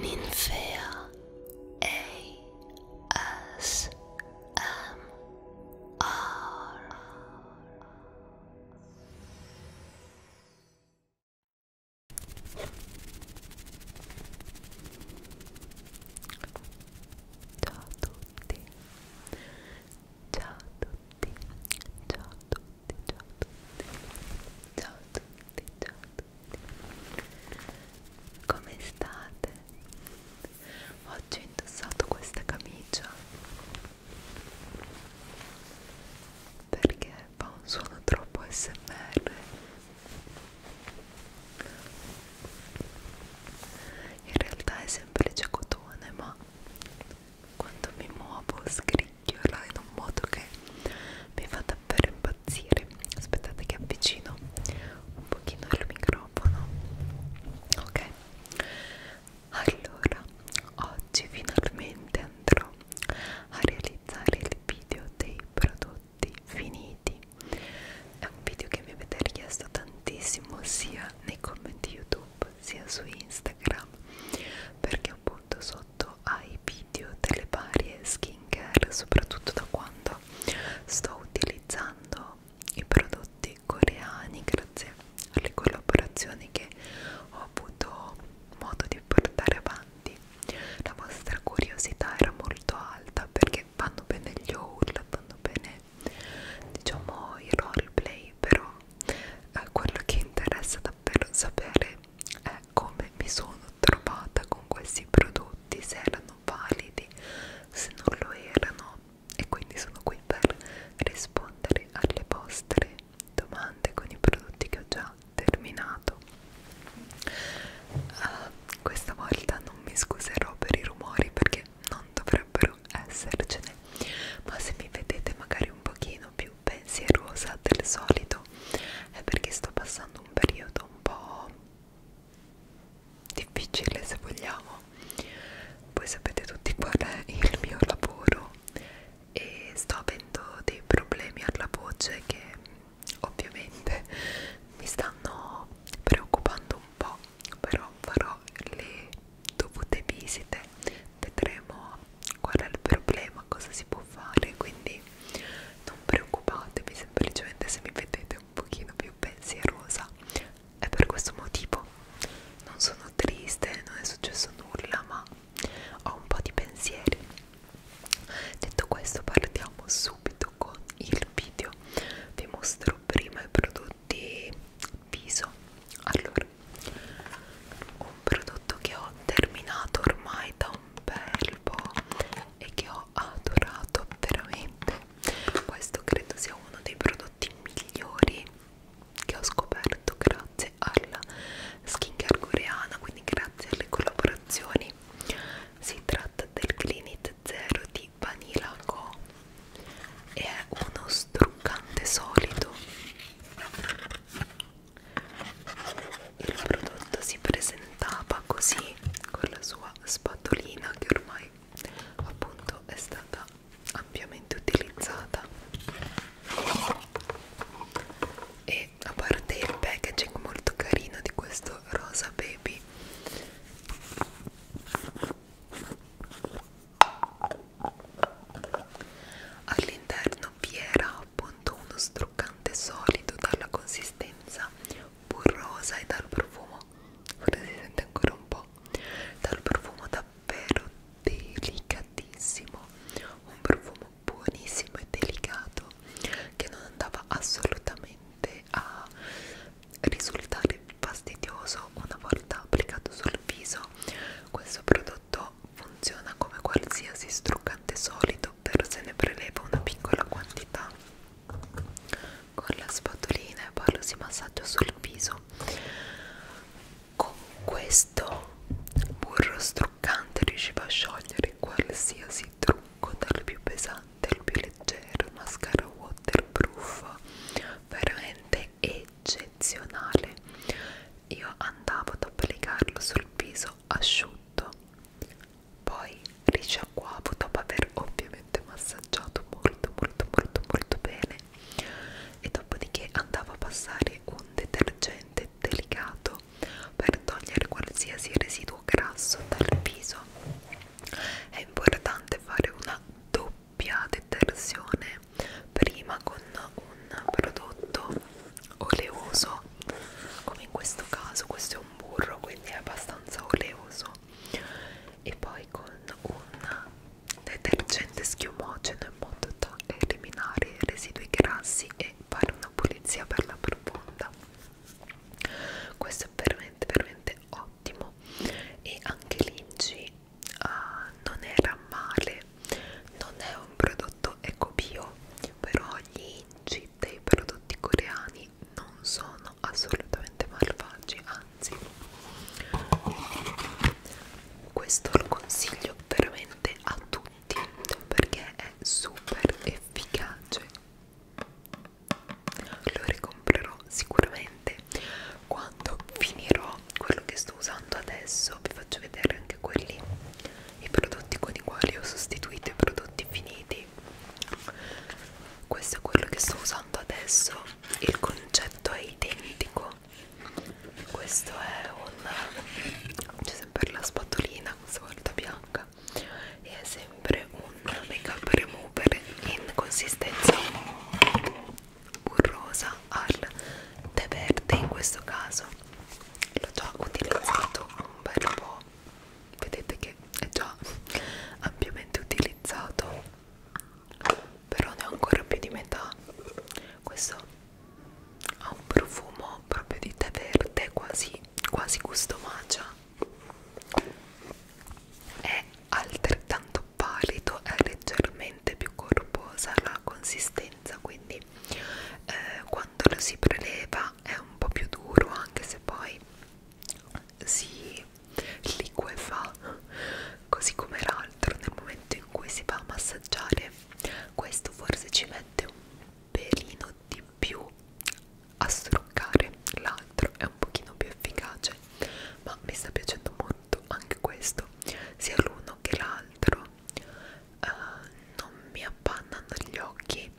Ninfea ASMR Ciao a tutti Ciao a tutti Ciao a tutti Ciao a tutti Ciao a tutti tutti, ciao a tutti come state? oggi ho indossato questa camicia perché fa un suono troppo smr in realtà è semplice cotone ma quando mi muovo scrivo dirla in un modo che mi fa davvero impazzire aspettate che avvicino un pochino il microfono ok allora oggi finalmente andrò a realizzare il video dei prodotti finiti è un video che mi avete richiesto tantissimo sia nei commenti youtube sia su instagram perché appunto sotto ai più video delle varie skincare soprattutto da quando sto utilizzando i prodotti coreani grazie alle collaborazioni che ho avuto modo di portare avanti la vostra curiosità era molto alta perché fanno bene gli haul fanno bene diciamo i roleplay però eh, quello che interessa davvero sapere è come mi sono trovata con questi prodotti se erano validi, se non lo erano e quindi sono qui per rispondere alle vostre domande con i prodotti che ho già terminato. Uh, questa volta non mi scuserò per i rumori perché non dovrebbero essercene, ma se mi vedete magari un pochino più più pensierosa del solito è perché sto passando un periodo un po' difficile se vogliamo voi sapete tutti qual è il mio lavoro e sto avendo dei problemi alla voce che ovviamente mi stanno preoccupando un po' però farò le dovute visite vedremo qual è il problema cosa si può fare quindi non preoccupatevi semplicemente se mi vedete un pochino più pensierosa è per questo motivo non sono triste non è successo nulla ma ho un po' di pensieri detto questo partiamo subito con il video vi mostro prima i prodotti viso allora un prodotto che ho terminato ormai da un un bel po' e che ho adorato veramente questo credo sia uno dei prodotti migliori che ho scoperto grazie alla skincare coreana quindi grazie alle collaborazioni si tratta del Clinit Zero di Vanilla Co e è uno struccante solido il prodotto si presentava così con la sua spatolina che ormai appunto è stata ampiamente utilizzata e a parte il packaging molto carino di questo rosa baby all'interno cambiera appunto uno struccante solido dalla consistenza burrosa e dal profumo forse si sente ancora un po' dal profumo davvero delicatissimo un profumo buonissimo e delicato che non andava assolutamente a risultare fastidioso una volta applicato sul viso questo prodotto funziona come qualsiasi struccante solido zucchero se ne preleva una piccola quantità con la spatolina e poi lo si massaggia sul viso con questo burro struccante riusciva a sciogliere qualsiasi trucco dal più pesante al più leggero mascara waterproof veramente eccezionale io andavo ad applicarlo sul viso asciutto poi risciacquavo dopo aver ovviamente massaggiato molto molto molto molto bene e dopodiché andavo a passare un detergente delicato per togliere qualsiasi residuo grasso dal viso è importante fare una doppia detersione prima con un prodotto oleoso come in questo caso questo è un burro quindi è abbastanza oleoso e poi con un detergente schiumogeno in modo da eliminare i residui grassi e fare una pulizia bella profonda questo è veramente veramente ottimo e anche l'inci uh, non era male non è un prodotto fatto è Copio, però gli inci dei prodotti coreani non sono assolutamente malvagi, anzi questo lo consiglio veramente a tutti perché è super efficace lo ricomprerò sicuramente quando finirò quello che sto usando adesso vi faccio vedere anche quelli i prodotti con i quali ho sostituito i prodotti finiti questo è quello che sto usando adesso il concetto è identico questo è un c'è sempre la spatolina questa volta bianca e è sempre un make up remover in consistenza burrosa al tè verde in questo caso l'ho già utilizzato un bel po' vedete che è già ampiamente utilizzato però ne ho ancora più di metà questo ha un profumo proprio di tè verde quasi, quasi gusto macia è altrettanto pallido è leggermente più corposa la consistenza quindi eh, quando lo si preleva è un po' più duro anche se poi si liquefa così come l'altro nel momento in cui si va a massaggiare questo forse ci mette un pelino di più a struccare l'altro è un pochino più efficace ma mi sta piacendo molto anche questo sia l'uno che l'altro uh, non mi appannano gli occhi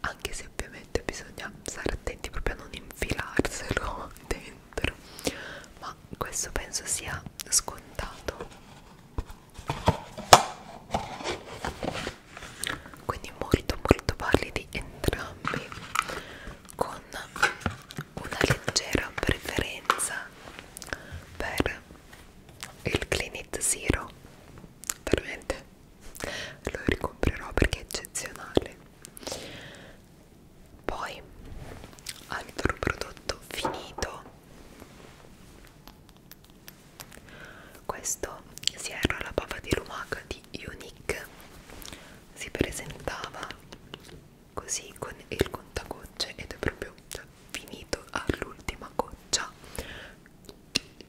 anche se ovviamente bisogna stare attenti proprio a non infilarselo dentro ma questo penso sia scontato quindi molto molto validi entrambi con una leggera preferenza per il Clean It Zero veramente lo ricomprerò perché è eccezionale poi altro prodotto finito questo si era la bava di lumaca di Unique si presentava così con il contagocce ed è proprio finito all'ultima goccia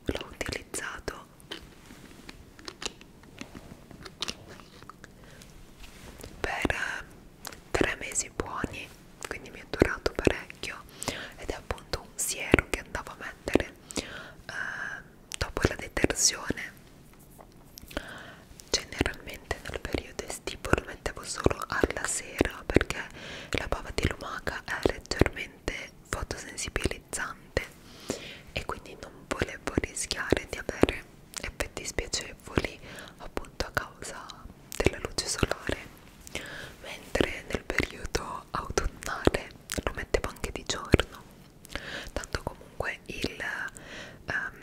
l'ho utilizzato per eh, tre mesi buoni quindi mi è durato parecchio ed è appunto un siero che andavo a mettere eh, dopo la detersione generalmente nel periodo estivo lo mettevo solo alla sera perché la bava di lumaca è leggermente estremamente fotosensibilizzante e quindi non volevo rischiare di avere effetti spiacevoli appunto a causa della luce solare mentre nel periodo autunnale lo mettevo anche di giorno tanto comunque il, um,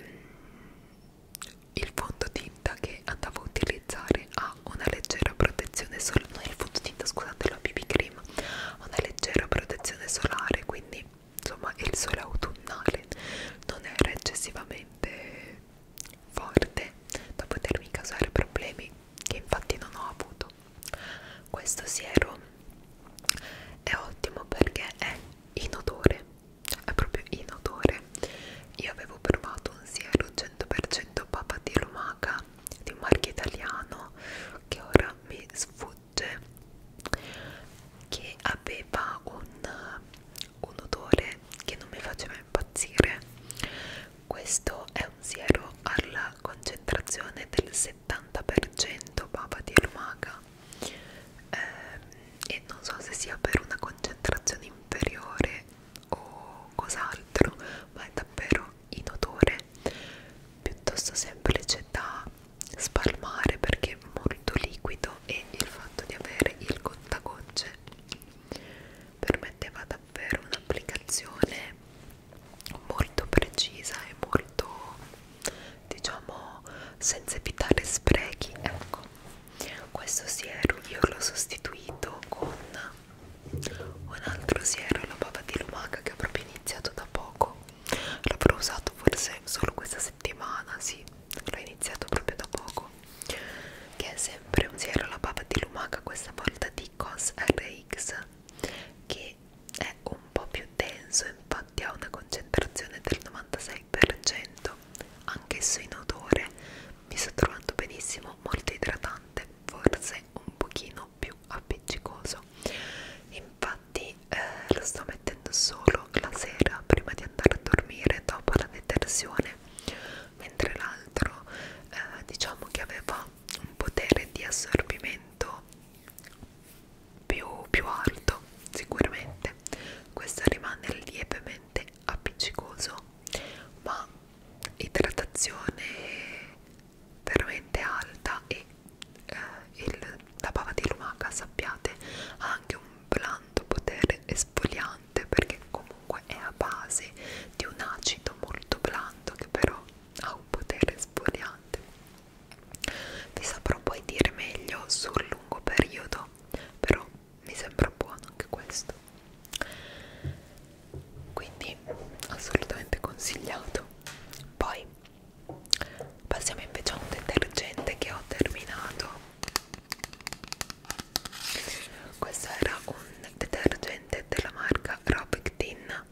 il fondotinta che andavo a utilizzare utilizzare ha una leggera protezione solare no, il fondotinta scusate la BB cream ha una leggera protezione solare quindi insomma il sole autunnale non era eccessivamente forte da potermi causare problemi che infatti non ho avuto questo siero è ottimo perché è inodore è proprio inodore io avevo provato un siero 100% papa di lumaca di un marchio italiano che ora mi sfugge che aveva un, un odore che non mi faceva impazzire questo è un siero alla concentrazione del 70% bava di lumaca eh, e non so se sia per una concentrazione inferiore o cos'altro ma è davvero inodore piuttosto semplice da spalmare perché è molto liquido e il fatto di avere il contagocce permetteva davvero un'applicazione molto precisa e molto diciamo senza evitare sprechi ecco questo siero io l'ho sostituito con un altro siero la bava di lumaca che ho proprio iniziato da poco l'avrò usato forse solo questa settimana sì l'ho iniziato proprio da poco che è sempre un siero la bava di lumaca questa volta di cos rx che è un po più denso infatti ha una concentrazione del 96% anch'esso in odore mi sto trovando benissimo molto idratante forse un pochino più appiccicoso infatti eh, lo sto mettendo solo la sera prima di andare a dormire dopo la detersione mentre l'altro eh, diciamo che aveva un potere di assorbimento più, più alto sicuramente questo rimane lievemente appiccicoso ma idratazione veramente alta e eh, il, la bava di lumaca sappiate ha anche un blando potere esfoliante perché comunque è a base di un acido molto blando che però ha un potere esfoliante vi saprò poi dire meglio sul lungo periodo però mi sembra buono anche questo quindi assolutamente consigliato poi passiamo invece a un detergente che ho terminato questo era un detergente della marca Robectin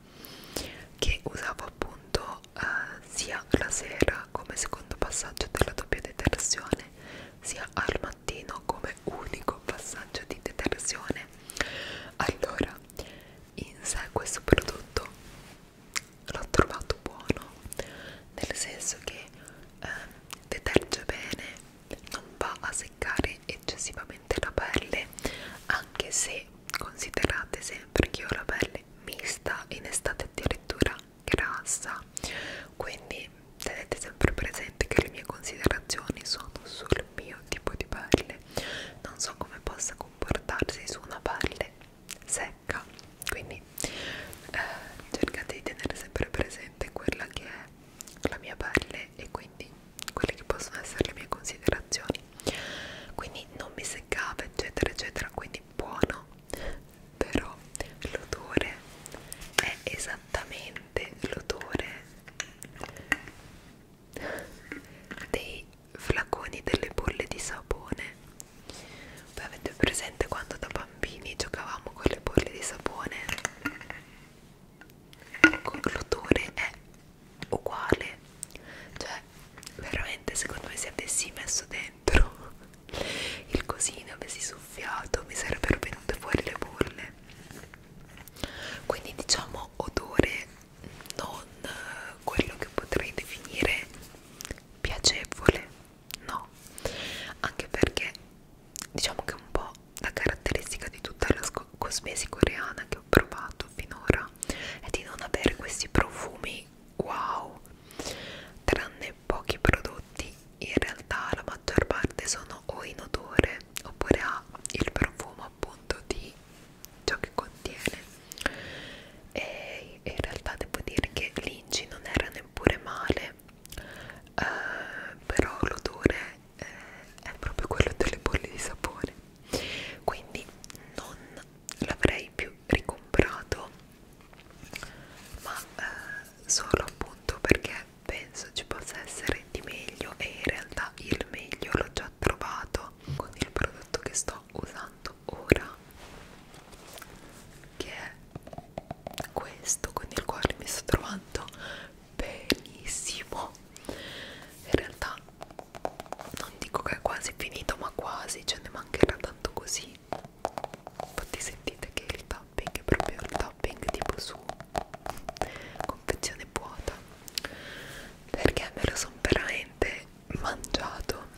che usavo appunto eh, sia la sera come secondo passaggio della doppia detersione sia al mattino come comunque unico passaggio di detersione allora in sé questo prodotto l'ho trovato buono nel senso che eh, deterge bene non va a seccare eccessivamente la pelle anche se considerate sempre che ho la pelle mista in estate addirittura grassa quindi tenete sempre presente che le mie considerazioni sono sul mio tipo di pelle non so come possa comportarsi su una pelle secca quindi eh, cercate di tenere sempre presente quella che è la mia pelle e quindi quelle che possono essere le mie considerazioni quindi non mi seccava eccetera eccetera quindi buono però l'odore è esattamente l'odore dei flaconi delle bolle di sapone voi avete presente quando da bambini giocavamo con le bolle di sapone ecco l'odore è uguale cioè veramente secondo me se avessi messo dentro il cosino avessi soffiato mi sarebbero venute fuori le bolle quindi diciamo odore non quello che potrei definire piacevole no anche perché diciamo che un po' la caratteristica di tutta la cosmesi coreana che ho provato finora è di non avere questi profumi wow tranne pochi prodotti in realtà la maggior parte sono o in odore oppure ha il profumo appunto di ciò che contiene e in realtà devo dire che l'inci non era neppure male eh, però l'odore eh, è proprio quello delle bolle di sapone quindi non l'avrei più ricomprato ma eh, solo appunto perché penso ci possa essere di meglio e in realtà il meglio l'ho già trovato con il prodotto che sto usando ora che è questo con il quale mi sto trovando benissimo in realtà non dico che è quasi finito ma quasi ce ne mancherà tanto così infatti sentite che il topping è proprio il topping tipo su confezione vuota perché me lo sono veramente mangiato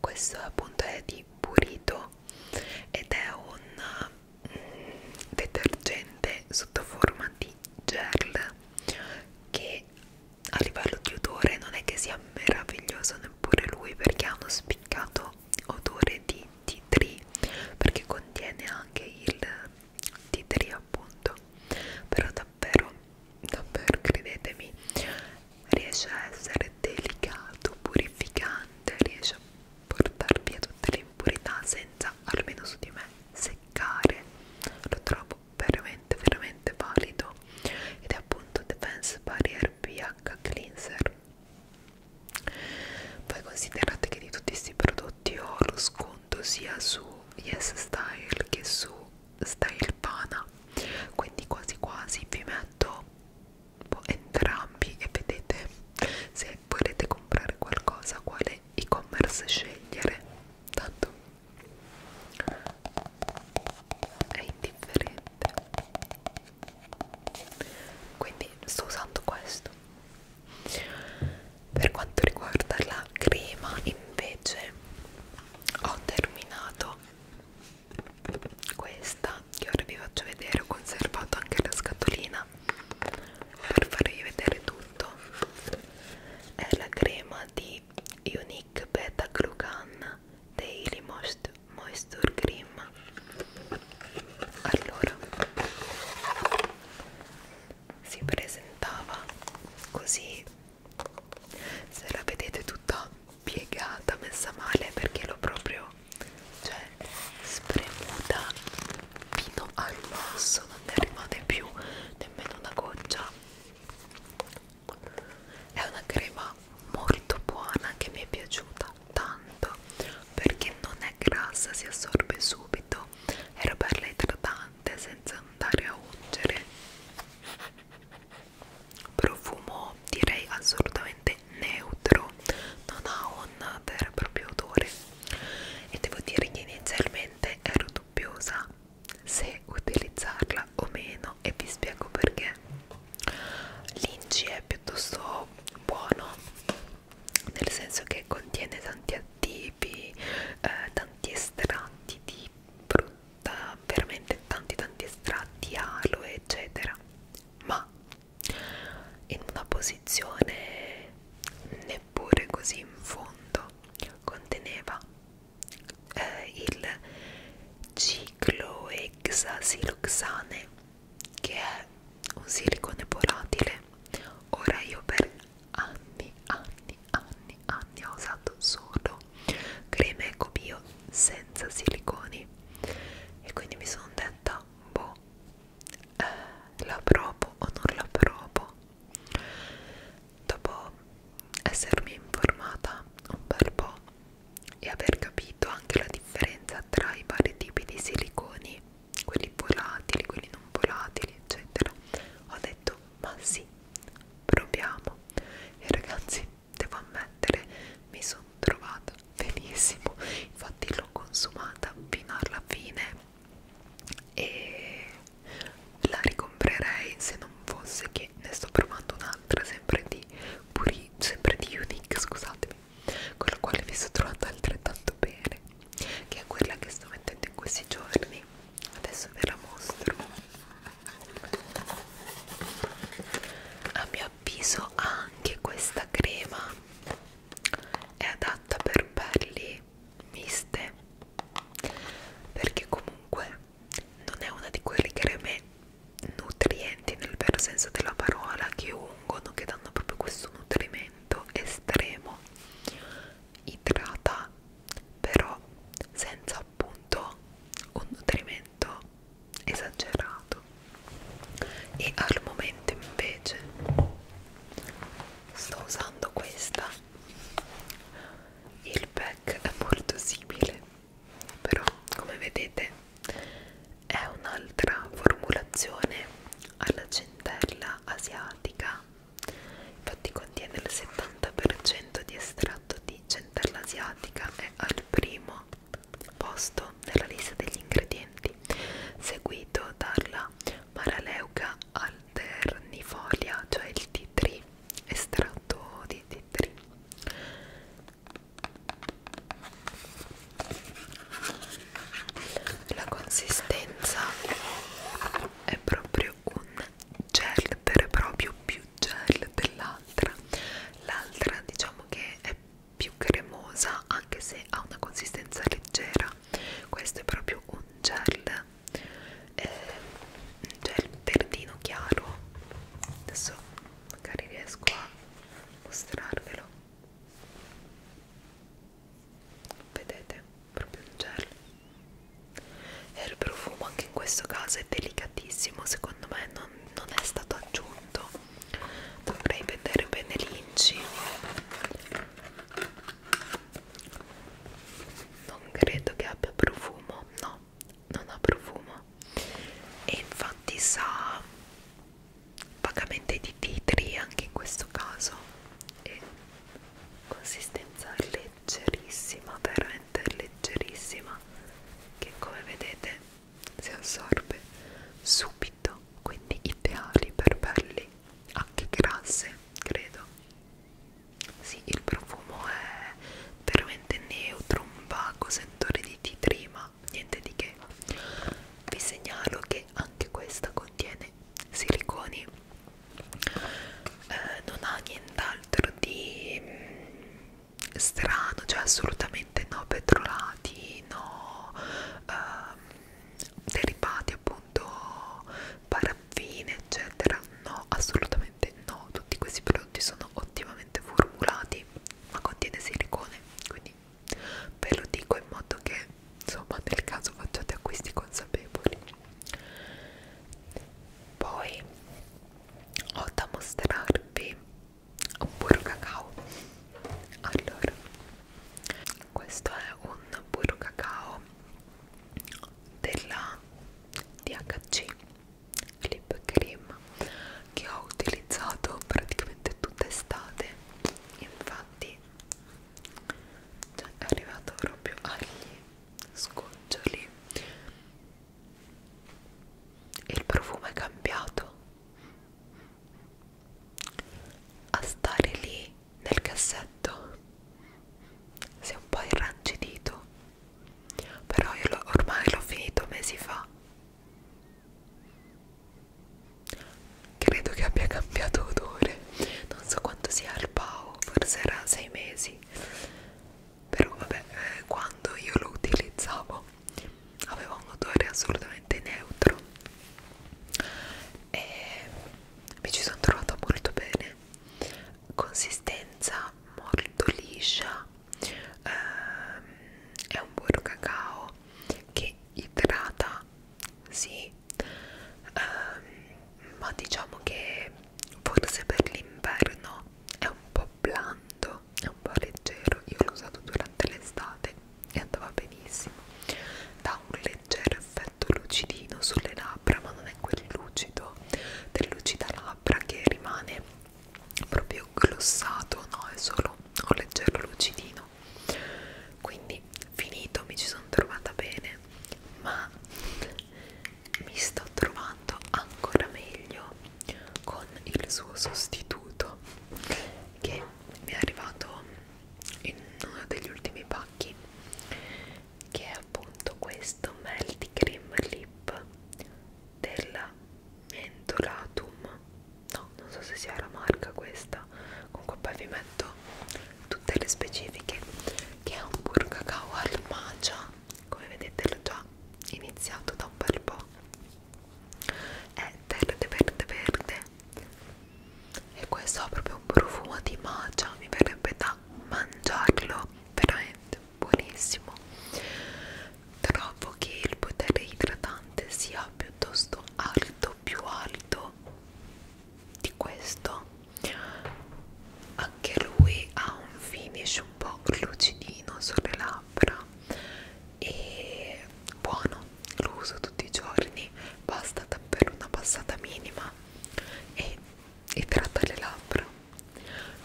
questo appunto è di burrito ed è un mm, detergente sotto forma di gel che a livello di odore non è che sia meraviglioso neppure lui perché ha uno spiccato odore di tea tree perché contiene anche il di trio appunto però davvero davvero credetemi riesce a essere delicato purificante riesce a portar via tutte le impurità senza almeno su di me seccare lo trovo veramente veramente valido ed è appunto Defense Barrier PH Cleanser poi considerate che di tutti questi prodotti ho lo sconto fondo sia su Yes Style che su Style Pana quindi quasi quasi vi metto entrambi e vedete se volete comprare qualcosa quale e-commerce scegliere tanto è indifferente quindi sto usando questo per quanto riguarda la crema invece ho terminato questa che ora vi faccio vedere ho conservato anche la scatolina per farvi vedere tutto è la crema di Unique Beta Glucan Daily Moist Moisture Cream allora si presentava così se la vedete tutta piegata messa male perché l'ho proprio cioè spremuta fino al basso non ne rimane più nemmeno una goccia è una crema molto buona che mi è piaciuta tanto perché non è grassa si assorbe subito era bella idratante latte senza andare a ungere profumo direi assolutamente neutro non ha un vero e proprio odore e devo dire che inizialmente ero dubbiosa se utilizzarla o meno e vi spiego perché l'inci è piuttosto buono nel senso che contiene tanti attivi, eh, tanti estratti di frutta, veramente tanti tanti estratti, aloe eccetera, ma in una posizione neppure così in fondo conteneva eh, il cicloexasiloxane che è un silicone volatile ora io per anni, anni, anni, anni ho usato solo creme eco bio senza siliconi e quindi mi sono detta boh eh, la provo o non la provo dopo essermi informata un bel po' e aver capito anche la differenza tra i vari tipi di siliconi quelli volatili, quelli non volatili, eccetera. Ho detto, ma sì, proviamo. E ragazzi, devo ammettere, mi sono trovata benissimo. Infatti, l'ho consumata fino alla fine e la ricomprerei se non fosse che ne sto provando un'altra, sempre di puri, sempre di Unique, scusatemi, con la quale mi sono trovata altrettanto bene che è quella che sto mettendo in questi giorni adesso ve la mostro a mio avviso anche questa crema è adatta per pelli miste perché comunque non è una di quelle creme nutrienti nel vero senso della parola che ungono che danno proprio questo nutrimento estremo idrata però senza appunto un nutrimento esagerato e al momento invece sto usando questa il pack è molto simile però come vedete è un'altra formulazione alla centella asiatica infatti contiene il 70% di estratto di centella asiatica è al primo posto nella lista degli ingredienti seguito dalla maraleuca alternifolia cioè il T3 estratto di T3 la consistenza è proprio un gel vero e proprio più gel dell'altra l'altra diciamo che è più cremosa anche se ha una consistenza leggera questo è proprio un gel eh, un gel verdino chiaro adesso magari riesco a mostrarvelo vedete proprio il gel e il profumo anche in questo caso è delicatissimo secondo me non, non è stato aggiunto dovrei vedere bene l'inci non credo che abbia profumo no non ha profumo e infatti sa vagamente di titri anche in questo caso e consistenza leggerissima veramente leggerissima che come vedete si assorbe subito quindi ideali per pelli anche grasse credo sì il profumo è veramente neutro un vago sentore di tea tree ma niente di che vi segnalo che anche questa contiene siliconi eh, non ha nient'altro di mh, mm, strano, cioè assolutamente no petrolati, no ehm, derivati appunto paraffine eccetera, no assolutamente no, tutti questi prodotti sono ottimamente formulati ma contiene silicone, quindi ve lo dico in modo che insomma nel caso facciate acquisti consapevoli poi ho da mostrarvi un burro cacao allora questo è un burro cacao della DHC lip cream che ho utilizzato praticamente tutta estate infatti cioè è arrivato proprio agli sgoccioli il profumo è cambiato a stare lì nel cassetto si è un po' irrancidito però io lo, ormai l'ho finito mesi fa credo che abbia cambiato odore non so quanto sia al pao forse era 6 mesi però vabbè eh, quando io lo utilizzavo aveva un odore assolutamente neutro e mi ci sono trovata molto bene consistenza molto liscia ehm, è un buon cacao che idrata sì um, ma diciamo che forse per l'inverno è un po' blando, è un po' leggero, io l'ho usato durante l'estate e andava benissimo, dà un leggero effetto lucidino sulle labbra, ma non è quel lucido del lucida labbra che rimane proprio glossato, no, è solo un leggero lucidino quindi finito, mi ci sono trovata bene, ma mi sto trovando ancora meglio con il suo sostituto che mi è arrivato in uno degli ultimi pacchi che è appunto questo Melty Cream Lip della Mentolatum no, non so se sia la marca questa comunque poi vi metto tutte le specifiche che è un burro cacao al matcha come vedete l'ho già iniziato da un bel po' è verde verde verde e questo ha proprio un profumo di matcha mi verrebbe da mangiarlo veramente buonissimo trovo che il potere idratante sia piuttosto alto più alto di questo anche lui ha un finish un po' lucidino sulle labbra e buono lo uso tutti i giorni basta davvero una passata minima e idrata le labbra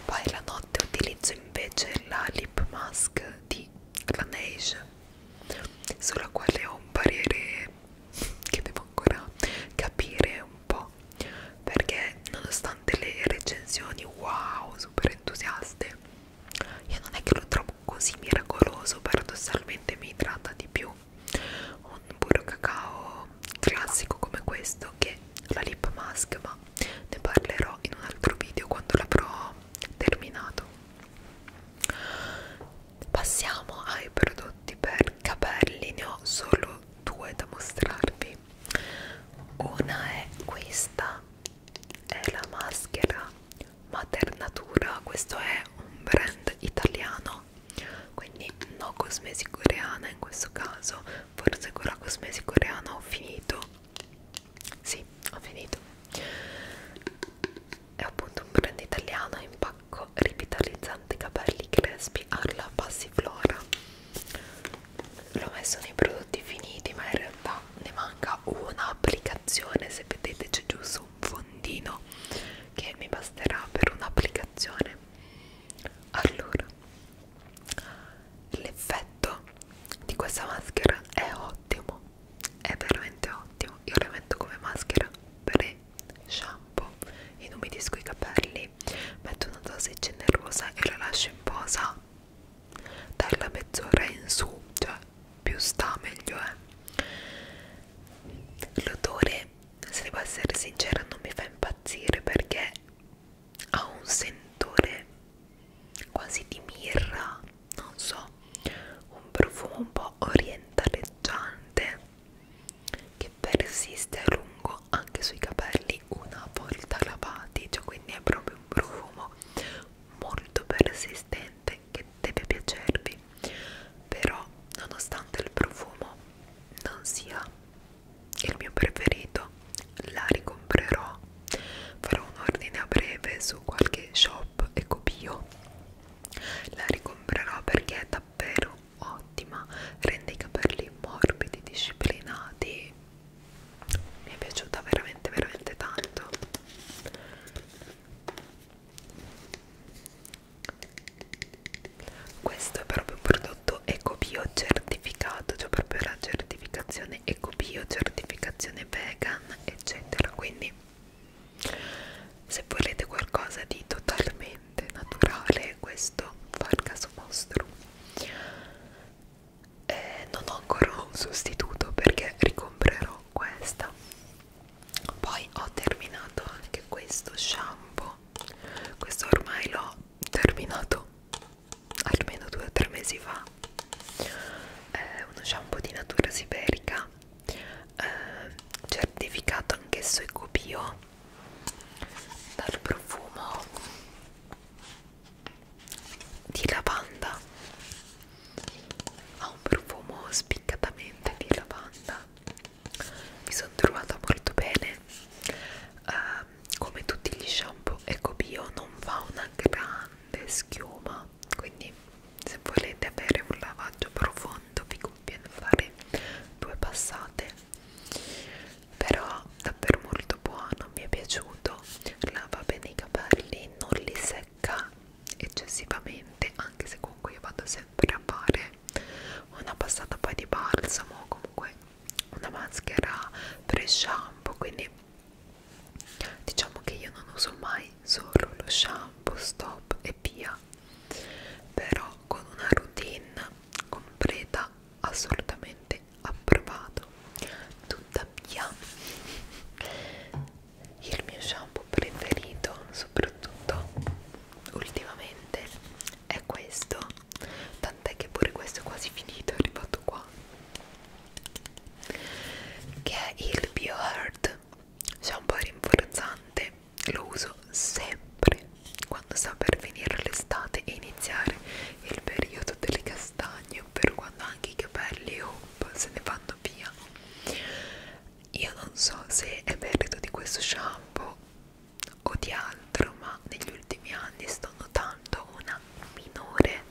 poi la notte utilizzo invece la lip mask di Laneige sulla quale ho un parere che devo ancora capire un po' perché nonostante le recensioni wow super entusiaste io non è che lo trovo così miracoloso paradossalmente mi tratta di più un burro cacao classico come questo che la lip mask ma ne parlerò in un altro video quando l'avrò terminato passiamo ai prodotti per capelli ne ho solo due da mostrarvi una è questa è la maschera Maternatura questo è un brand italiano quindi no cosmesi coreana in questo caso forse con la cosmesi coreana ho finito sì ho finito è appunto un brand italiano in pack bianco rivitalizzante capelli crespi alla passiflora l'ho messo nei prodotti finiti ma in realtà ne manca un'applicazione se vedete c'è giusto un fondino che mi basterà per un'applicazione allora l'effetto di questa maschera è ottimo è veramente ottimo io la metto come maschera per shampoo, inumidisco i capelli, metto una dose generosa e la lascio in posa dalla mezz'ora in su, cioè più sta meglio è. Eh. L'odore, se devo essere sincera, non mi fa impazzire perché ha un sentore quasi di mirra, non so, un profumo un po' orientaleggiante che persiste a lungo anche sui capelli una volta lavati cioè quindi è proprio un profumo molto persistente che deve piacervi però nonostante il profumo non sia il mio preferito la ricomprerò farò un ordine a breve su qualche shop ecobio la ricomprerò perché è davvero ottima rende i capelli morbidi disciplinati mi è piaciuta veramente veramente tanto questo è proprio un prodotto ecobio certificato cioè proprio la certificazione ecobio certificazione vegan eccetera quindi se volete qualcosa di totalmente assolutamente naturale questo fargas mostro eh, non ho ancora un sostituto perché ricomprerò questa poi ho terminato anche questo shampoo questo ormai l'ho terminato almeno due o tre mesi fa è uno shampoo di natura siberica eh, certificato anch'esso ecobio dal profumo di lavanda ha un profumo spiccatamente di lavanda mi sono trovata molto bene uh, come tutti gli shampoo ecco bio non fa una grande schiuma quindi se volete avere un lavaggio profondo tanto vi conviene fare due passate però davvero molto buono mi è piaciuto lava bene i capelli non li secca eccessivamente anche se comunque io vado sempre a fare una passata poi di balsamo o comunque una maschera pre shampoo quindi diciamo che io non uso mai solo lo shampoo stop e via però con una routine completa assolutamente approvato tuttavia il mio shampoo preferito soprattutto ultimamente è questo tant'è che pure questo è quasi finito è arrivato qua che è il BioHeart shampoo rinforzante lo uso sempre quando sta per venire l'estate e iniziare il periodo delle castagne per quando anche i capelli op, se ne vanno via io non so se è merito di questo shampoo o di altro ma negli ultimi anni sto notando una minore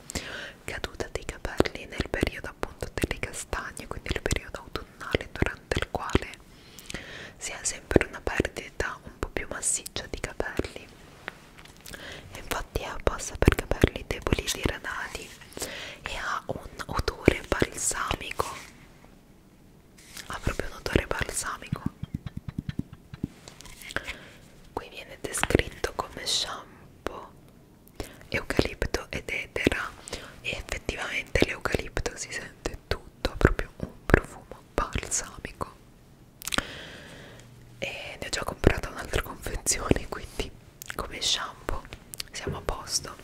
caduta dei capelli nel periodo appunto delle castagne quindi il periodo autunnale durante il quale si ha sempre una perdita un po' più massiccia di capelli e infatti è passa per capelli deboli diradati e ha un odore balsamico ha proprio un odore balsamico qui viene descritto come shampoo eucalipto ed edera e effettivamente l'eucalipto si sente è tutto, ha proprio un profumo balsamico e ne ho già comprato un'altra confezione quindi come shampoo siamo a posto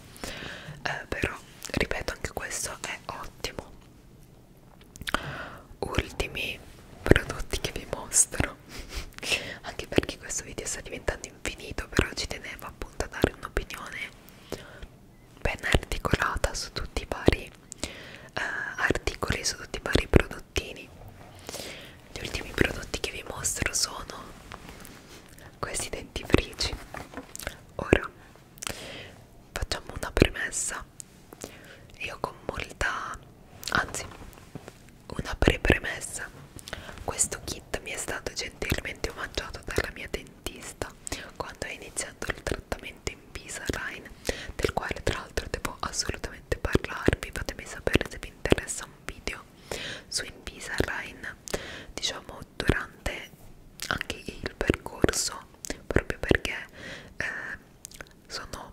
eh, però ripeto anche questo è ottimo ultimi prodotti che vi mostro anche perché questo video sta diventando infinito però ci tenevo appunto a dare un'opinione ben articolata su tutti i vari eh, articoli, su tutti i vari prodottini. Gli ultimi prodotti che vi mostro sono questi dentifrici. Ora facciamo una premessa. Io con molta, anzi, una pre-premessa. Questo kit mi è stato gentilmente omaggiato dalla mia dentista dentista quando è iniziato il trattamento in Pisaline, del quale tra l'altro devo assolutamente parlarvi, fatemi sapere se vi interessa un video su Invisalign, diciamo durante anche il percorso, proprio perché eh, sono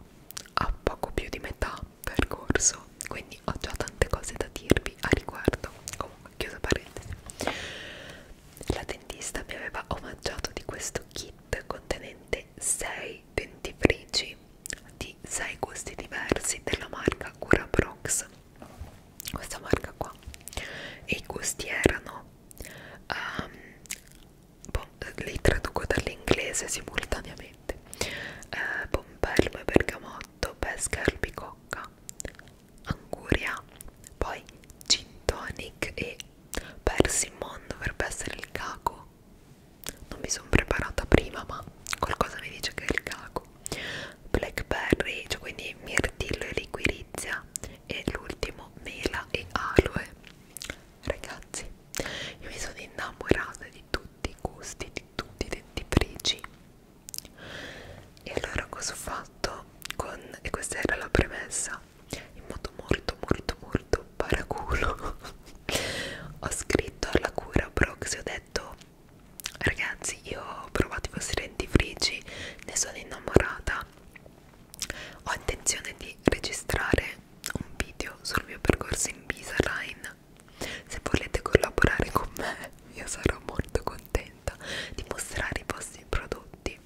a poco più di metà percorso, quindi ho già tante cose da dirvi a riguardo. Comunque chiusa parentesi la dentista mi aveva omaggiato di questo kit contenente 6 dentifrici di 6 gusti diversi della marca Curaprox questa marca qua e i gusti erano um, ehm, bon, li traduco dall'inglese simultaneamente eh, pompelmo e bergamotto pesca e albicocca anguria poi gin tonic e persimmon dovrebbe essere il caco non mi sono preparata prima ma qualcosa mi dice che è il caco blackberry cioè quindi mirtillo e liquirizia e l'ultimo mela e aloe ragazzi io mi sono innamorata di tutti i gusti di tutti i dentifrici e allora cosa ho fatto con e questa era la premessa in modo molto molto molto paraculo ho scritto alla cura Brox e ho detto ragazzi io ho provato i vostri dentifrici ne sono innamorata ho intenzione di registrare un video sul mio percorso in Visaline se volete collaborare con me io sarò molto contenta di mostrare i vostri prodotti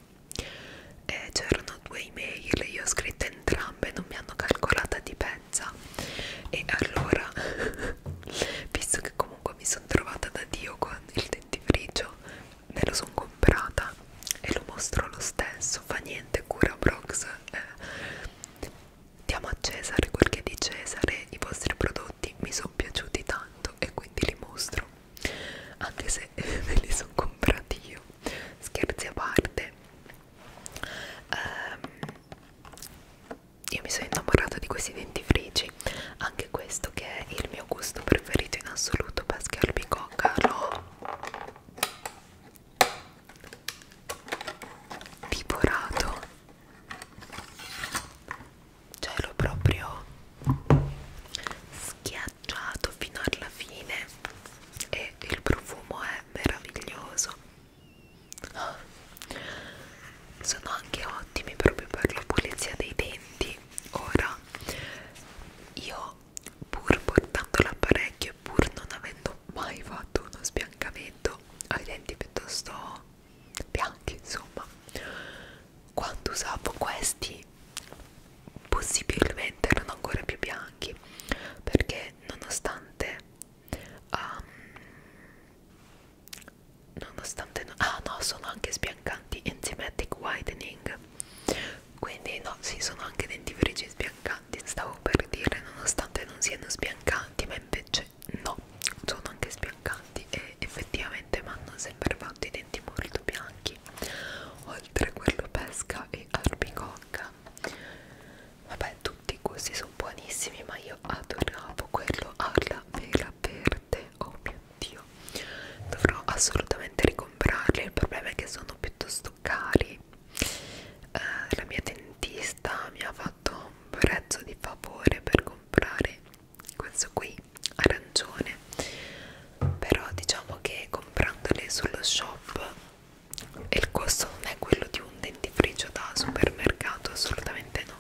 e c'erano due email io ho scritto entrambe non mi hanno calcolata di pezza e allora visto che comunque mi sono trovata da dio con il dentifricio me lo sono comprata e lo mostro lo stesso fa niente cura brox eh, diamo a Cesare quel che è di Cesare i vostri prodotti mi sono piaciuti tanto e quindi li mostro anche se me li sono comprati io scherzi a parte um, io mi sono innamorata di questi dentifrici anche questo che è il mio gusto preferito in assoluto pesca e albicocca l'ho divorato cioè l'ho proprio schiacciato fino alla fine e il profumo è meraviglioso sono anche ottimi proprio per la pulizia dei denti ora io pur portando l'apparecchio e pur non avendo mai fatto uno sbiancamento ai denti piuttosto bianchi insomma quando usavo questi possibilmente erano ancora più bianchi perché nonostante um, nonostante no, ah no sono anche sbiancanti enzymatic whitening quindi no si sì, sono anche dentifrici sbiancanti stavo per dire nonostante non siano sbiancanti ma invece no sono anche sbiancanti e effettivamente mi hanno sempre fatto i denti molto bianchi lì oltre quello pesca e albicocca vabbè tutti questi sono buonissimi ma io adoravo quello alla vela verde oh mio dio dovrò assolutamente ricomprarli il problema è che sono piuttosto cari eh, la mia dentista mi ha fatto un prezzo di favore per comprare questo qui arancione però diciamo che comprandole sullo shop il costo non è quello di un dentifricio da supermercato assolutamente no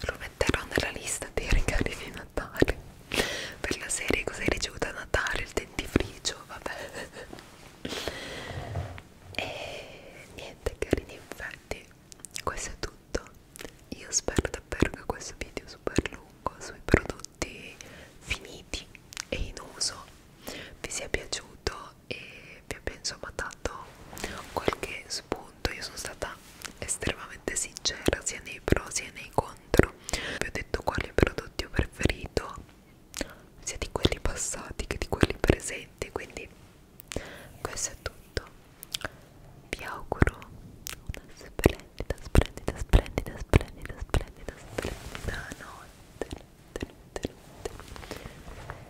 lo metterò nella lista dei regali di Natale per la serie cos'hai ricevuto a Natale il dentifricio vabbè e niente carini infatti questo è tutto io spero davvero che questo video super lungo sui prodotti finiti e in uso vi sia piaciuto e vi abbia insomma dato qualche spunto io sono stata estremamente sincera sia nei pro sia nei contro vi ho detto quali prodotti ho preferito sia di quelli passati che di quelli presenti quindi questo è tutto vi auguro una splendida splendida splendida splendida splendida splendida notte, notte, notte, notte.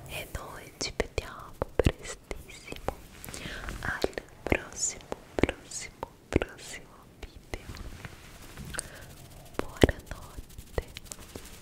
e noi ci vediamo prestissimo al prossimo prossimo prossimo video buonanotte